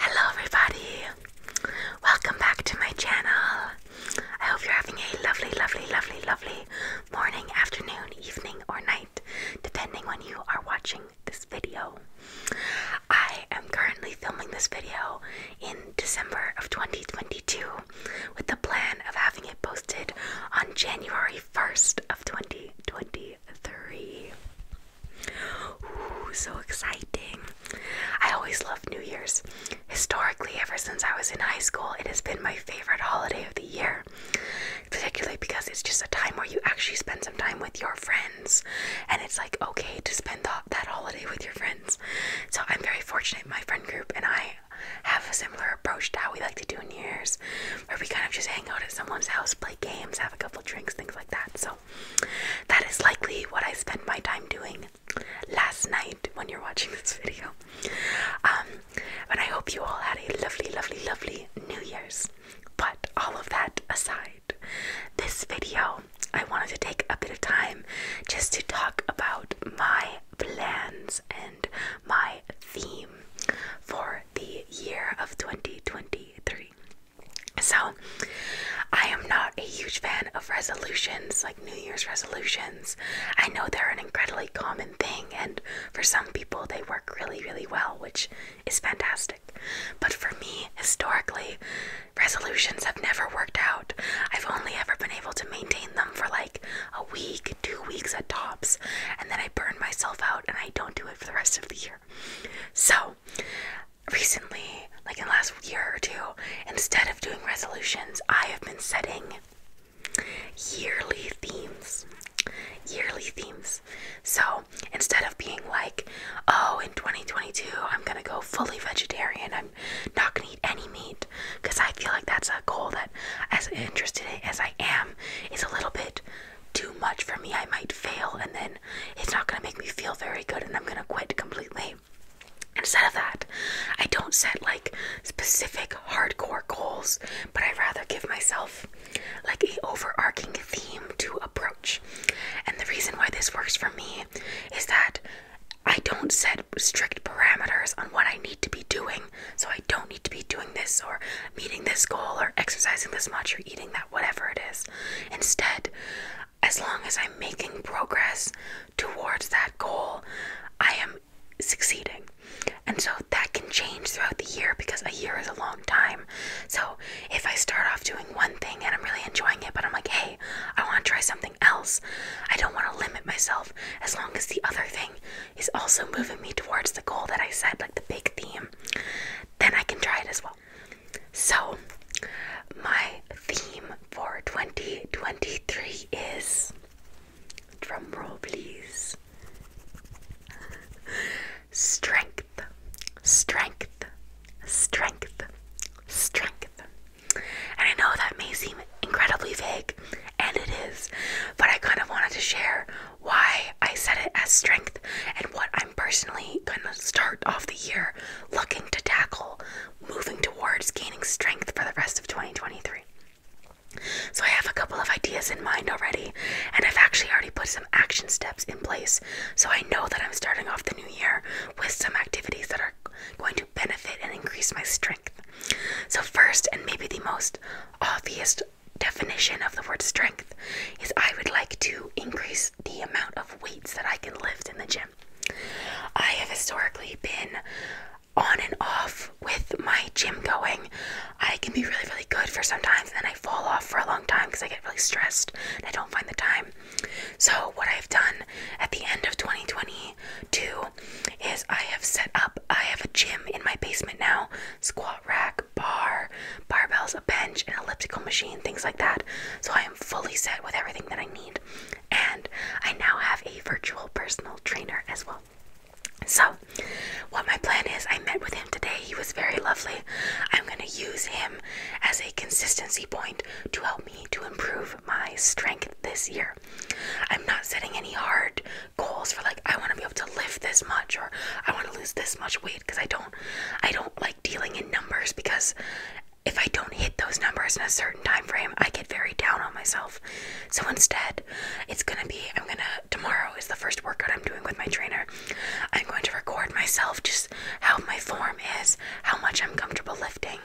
Hello, everybody! Welcome back to my channel. I hope you're having a lovely, lovely, lovely, lovely morning, afternoon, evening, or night, depending when you are watching this video. I am currently filming this video in December of 2022 with the plan of having it posted on January 1st of 2022 three. Ooh, so exciting! I always love New Year's. Historically, ever since I was in high school, it has been my favorite holiday of the year, particularly because it's just a time where you actually spend some time with your friends, and it's like okay to spend the, that holiday with your friends. So, I'm very fortunate, my friend group and I have a similar approach to how we like to do New Year's, where we kind of just hang out at someone's house, play games, have a couple drinks, things like that. So that is likely what I spent my time doing last night when you're watching this video. Um, and I hope you all had a lovely, lovely, lovely New Year's. But all of that aside, this video I wanted to take a bit of time just to talk about my plans and my theme for the year of 2023. So, I am not a huge fan of resolutions, like New Year's resolutions. I know they're an incredibly common thing, and for some people, they work really, really well, which is fantastic. But for me, historically, resolutions have never worked out. I've only ever been able to maintain them for like a week, two weeks at tops, and then I burn myself out and I don't do it for the rest of the year. So, recently, like in the last year or two, instead of doing resolutions, I have been setting yearly themes. Yearly themes. So, instead of being like, oh, in 2022, I'm gonna go fully vegetarian, I'm not gonna eat any meat, because I feel like that's a goal that, as interested as I am, is a little bit too much for me. I might fail and then it's not going to make me feel very good and I'm going to quit completely. Instead of that, I don't set like specific hardcore goals, but I rather give myself like a overarching theme to approach. And the reason why this works for me is that I don't set strict parameters on what I need to be doing. So I don't need to be doing this or meeting this goal or exercising this much or eating that whatever it is. Instead, as long as I'm making progress towards that goal, I am succeeding. And so that can change throughout the year because a year is a long time. So if I start off doing one thing and I'm really enjoying it, but I'm like, hey, I want to try something else, I don't want to limit myself as long as the other thing is also moving me towards the goal that I set, like the big theme, then I can try it as well. So, my theme for 2023 is drum please. Strength, strength, strength, strength. And I know that may seem incredibly vague, and it is, but I kind of wanted to share why I said it as strength and what I'm personally going to start off the year looking to tackle, moving towards gaining strength for the rest of 2023. So, I have a couple of ideas in mind already, and I've actually already put some action steps in place. So, I know that I'm starting off the new year with some activities that are going to benefit and increase my strength. So, first, and maybe the most obvious definition of the word strength, is I would like to increase the amount of weights that I can lift in the gym. I have historically been on and off with my gym going. I can be really, really good for some times, and then I fall off for a long time because I get really stressed and I don't find the time. So, what I've done at the end of 2022 is I have set up, I have a gym in my basement now squat rack, bar, barbell a bench, an elliptical machine, things like that. So I am fully set with everything that I need. And I now have a virtual personal trainer as well. So, what my plan is, I met with him today. He was very lovely. I'm going to use him as a consistency point to help me to improve my strength this year. I'm not setting any hard goals for like I want to be able to lift this much or I want to lose this much weight because I don't I don't like dealing in numbers because if I don't hit those numbers in a certain time frame, I get very down on myself. So instead, it's gonna be I'm gonna tomorrow is the first workout I'm doing with my trainer. I'm going to record myself just how my form is, how much I'm comfortable lifting,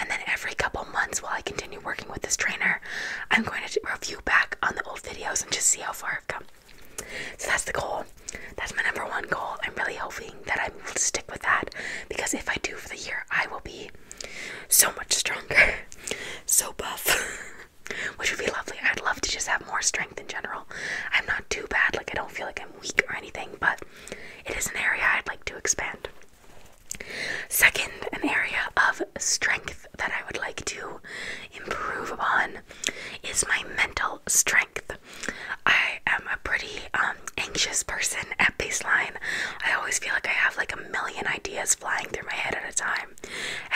and then every couple months while I continue working with this trainer, I'm going to review back on the old videos and just see how far I've come. So that's the goal that's my number one goal. I'm really hoping that I will stick with that because if I do for the year, I will be so much stronger, so buff, which would be lovely. I'd love to just have more strength in general. I'm not too bad, like, I don't feel like I'm weak or anything, but it is an area I'd like to expand. Second, an area of strength that I would like to improve upon is my mental strength. I am a pretty um, anxious person at baseline. I always feel like I have like a million ideas flying through my head at a time.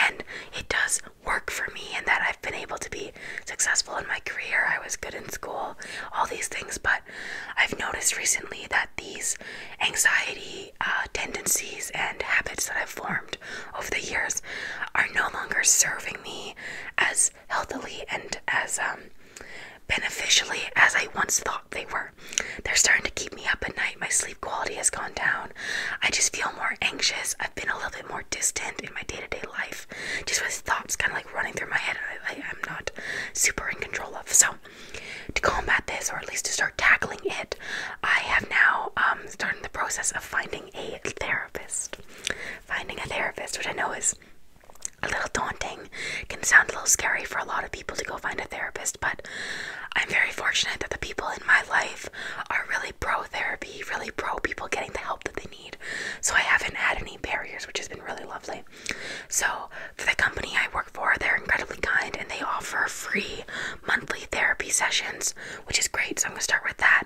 And it does work for me in that I've been able to be successful in my career. I was good in school, all these things. But I've noticed recently that these anxiety uh, tendencies and habits that I've formed over the years are no longer serving me as healthily and as um, beneficially as I once thought they were. They're starting to keep me up at night. My sleep quality has gone down. I just feel more anxious. I've been a little bit more distant in my day to day life, just with thoughts kind of like running through my head. I, am not super in control of. So, to combat this, or at least to start tackling it, I have now um, started the process of finding a therapist. Finding a therapist, which I know is a little daunting, can sound a little scary for a lot of people to go find a therapist, but I'm very fortunate that the people in my life are really pro therapy, really pro people getting the help that they need. So I haven't had any barriers, which has been really lovely. So, for the company I work for, they're incredibly kind and they offer free monthly therapy sessions, which is great. So, I'm going to start with that.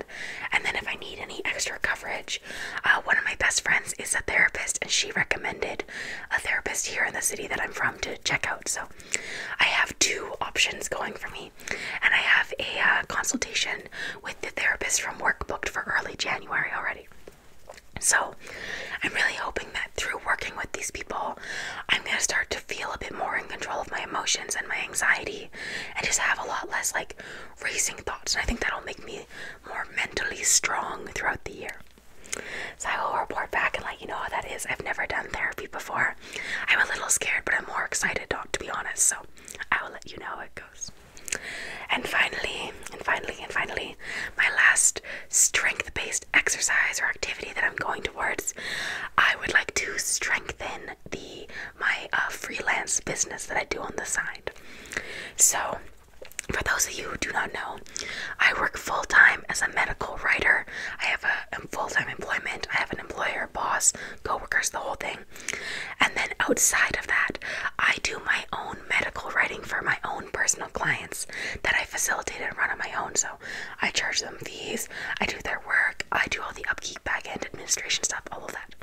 And then if I need any extra coverage, uh, one of my best friends is a therapist, and she recommended a therapist here in the city that I'm from to check out. So I have two options going for me, and I have a uh, consultation with the therapist from work booked for early January already. So, I'm really hoping that through working with these people, I'm going to start to feel a bit more in control of my emotions and my anxiety and just have a lot less like racing thoughts. And I think that'll make me more mentally strong throughout the year. So I will report back and let you know how that is. I've never done therapy before. I'm a little scared, but I'm more excited to be honest. So I will let you know how it goes. And finally, and finally, and finally, my last strength based exercise or activity that I'm going towards, I would like to strengthen the my uh, freelance business that I do on the side. So, for those of you who do not know, I work full time as a medical writer. I have a full time employment. I have an employer, boss, coworkers, the whole thing. And then outside of that, I do my own medical writing for my own personal clients that I facilitate and run on my own. So I charge them fees. I do their work. I do all the upkeep, back end administration stuff, all of that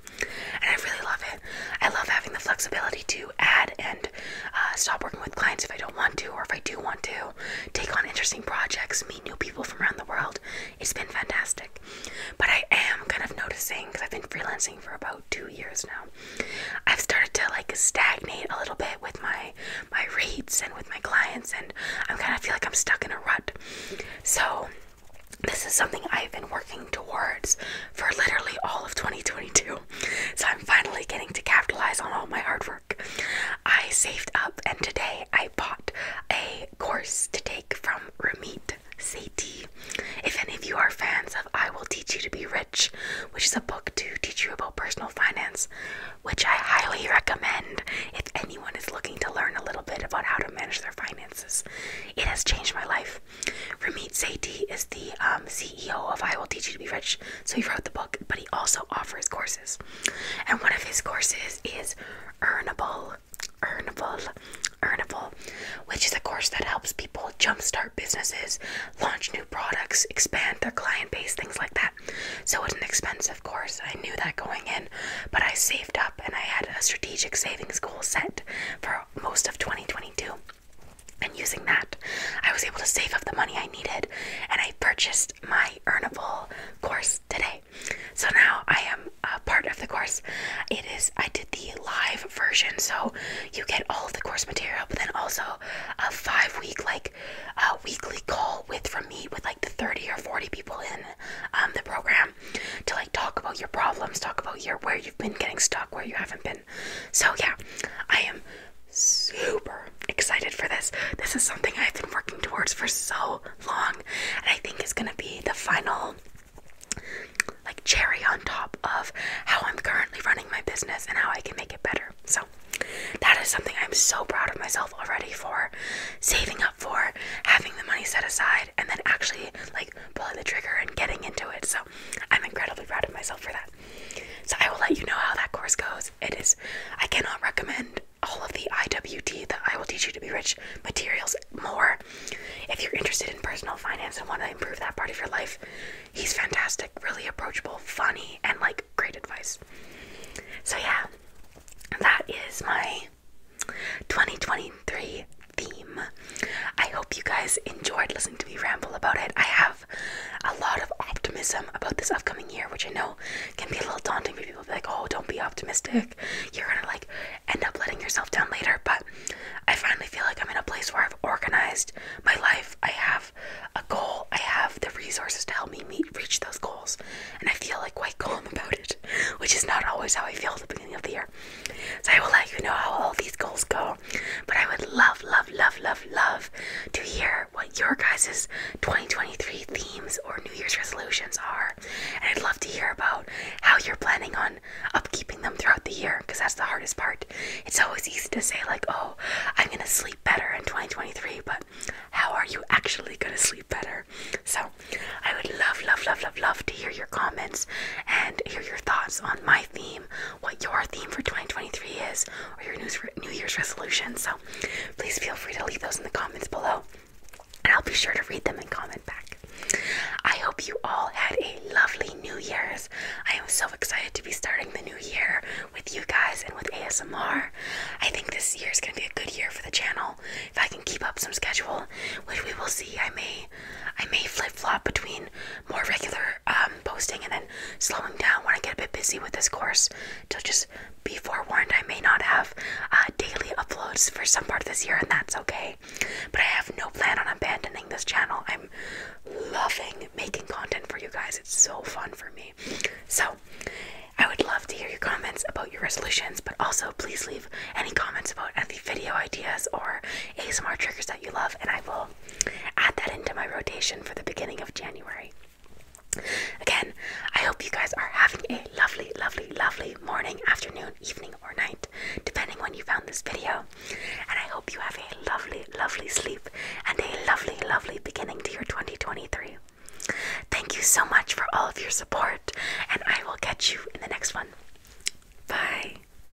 and I really love it. I love having the flexibility to add and uh, stop working with clients if I don't want to, or if I do want to, take on interesting projects, meet new people from around the world. It's been fantastic. But I am kind of noticing because I've been freelancing for about two years now. I've started to like stagnate a little bit with my my rates and with my clients, and I'm kind of feel like I'm stuck in a rut. So this is something I've been working towards for literally all of 2022. So I'm finally getting to capitalize on all my hard work. I saved up and today I bought a course to take from Ramit Sethi. If any of you are fans of I Will Teach You to Be Rich, which is a book to teach you about personal finance, which I highly recommend if anyone is looking to learn a little bit about how to manage their finances. It has changed my life. Ramit Sethi is the um, CEO of I Will Teach You to Be Rich, so he wrote the book, but he also offers courses. And one of his courses is Earnable, Earnable, Earnable, which is a course that helps people jumpstart businesses, launch new products, expand their client base, things like that. So it's an expensive course. I knew that going in, but I saved up and I had a strategic savings goal set for most of 2022. And using that, I was able to save up the money I needed and I purchased my Earnable course today. So now I am a part of the course. It is, I did the live version, so you get all of the course material, but then also a five week, like, weekly call with from me with like the 30 or 40 people in um, the program to like talk about your problems, talk about your where you've been getting stuck, where you haven't been so, yeah, I am super excited for this. This is something I've been working towards for so long, and I think is going to be the final like cherry on top of how I'm currently running my business and how I can make it better. So, that is something I'm so proud of myself already for saving up for, having the money set aside, and then actually like pulling the trigger and getting into it. So, I'm incredibly proud of myself for that. So I will let you know how that course goes. It is, I cannot recommend all of the IWT, that I Will Teach You to Be Rich materials more. If you're interested in personal finance and want to improve that part of your life, he's fantastic, really approachable, funny, and like great advice. So yeah, that is my 2023 theme. I hope you guys enjoyed listening to me ramble about it. I have a lot of optimism about this upcoming year, which I know can be a little daunting for people. like, oh, don't be optimistic. You're gonna like end up letting yourself down later. But I finally feel like I'm in a place where I've organized my life. I have a goal. I have the resources to help me meet reach those goals, and I feel like quite calm about it, which is not always how I feel at the beginning of the year. So I will let you know how all these goals go. But I would love, love, love, love, love to hear what your guys' 2023 themes or New Year's resolutions are. And I'd love to hear about how you're planning on upkeeping them throughout the year because that's the hardest part. It's always easy to say, like, oh, I'm going to sleep better in 2023, but how are you actually going to sleep better? So I would love, love, love, love, love to hear your comments and hear your thoughts on my theme what your theme for 2023 is or your New Year's resolution. So please feel free to leave those in the comments below and I'll be sure to read them and comment back. I hope you all had a lovely New Year's. I am so excited to be starting the new year with you guys and with ASMR. I think this year is going to be a good year for the channel if I can keep up some schedule, which we will see. I may, I may flip flop between more regular um, posting and then slowing down when I get a bit busy with this course. To just be forewarned, I may not have uh, daily uploads for some part of this year, and that's okay. But I have no plan on abandoning this channel. I'm loving making content for you guys, it's so fun for me. So, I would love to hear your comments about your resolutions, but also please leave any comments about any video ideas or ASMR triggers that you love, and I will add that into my rotation for the beginning of January. Again, I hope you guys are having a lovely, lovely, lovely morning, afternoon, evening, or night, depending when you found this video. And I hope you have a lovely, lovely sleep and a lovely, lovely beginning to your 2023. Thank you so much for all of your support, and I will catch you in the next one. Bye.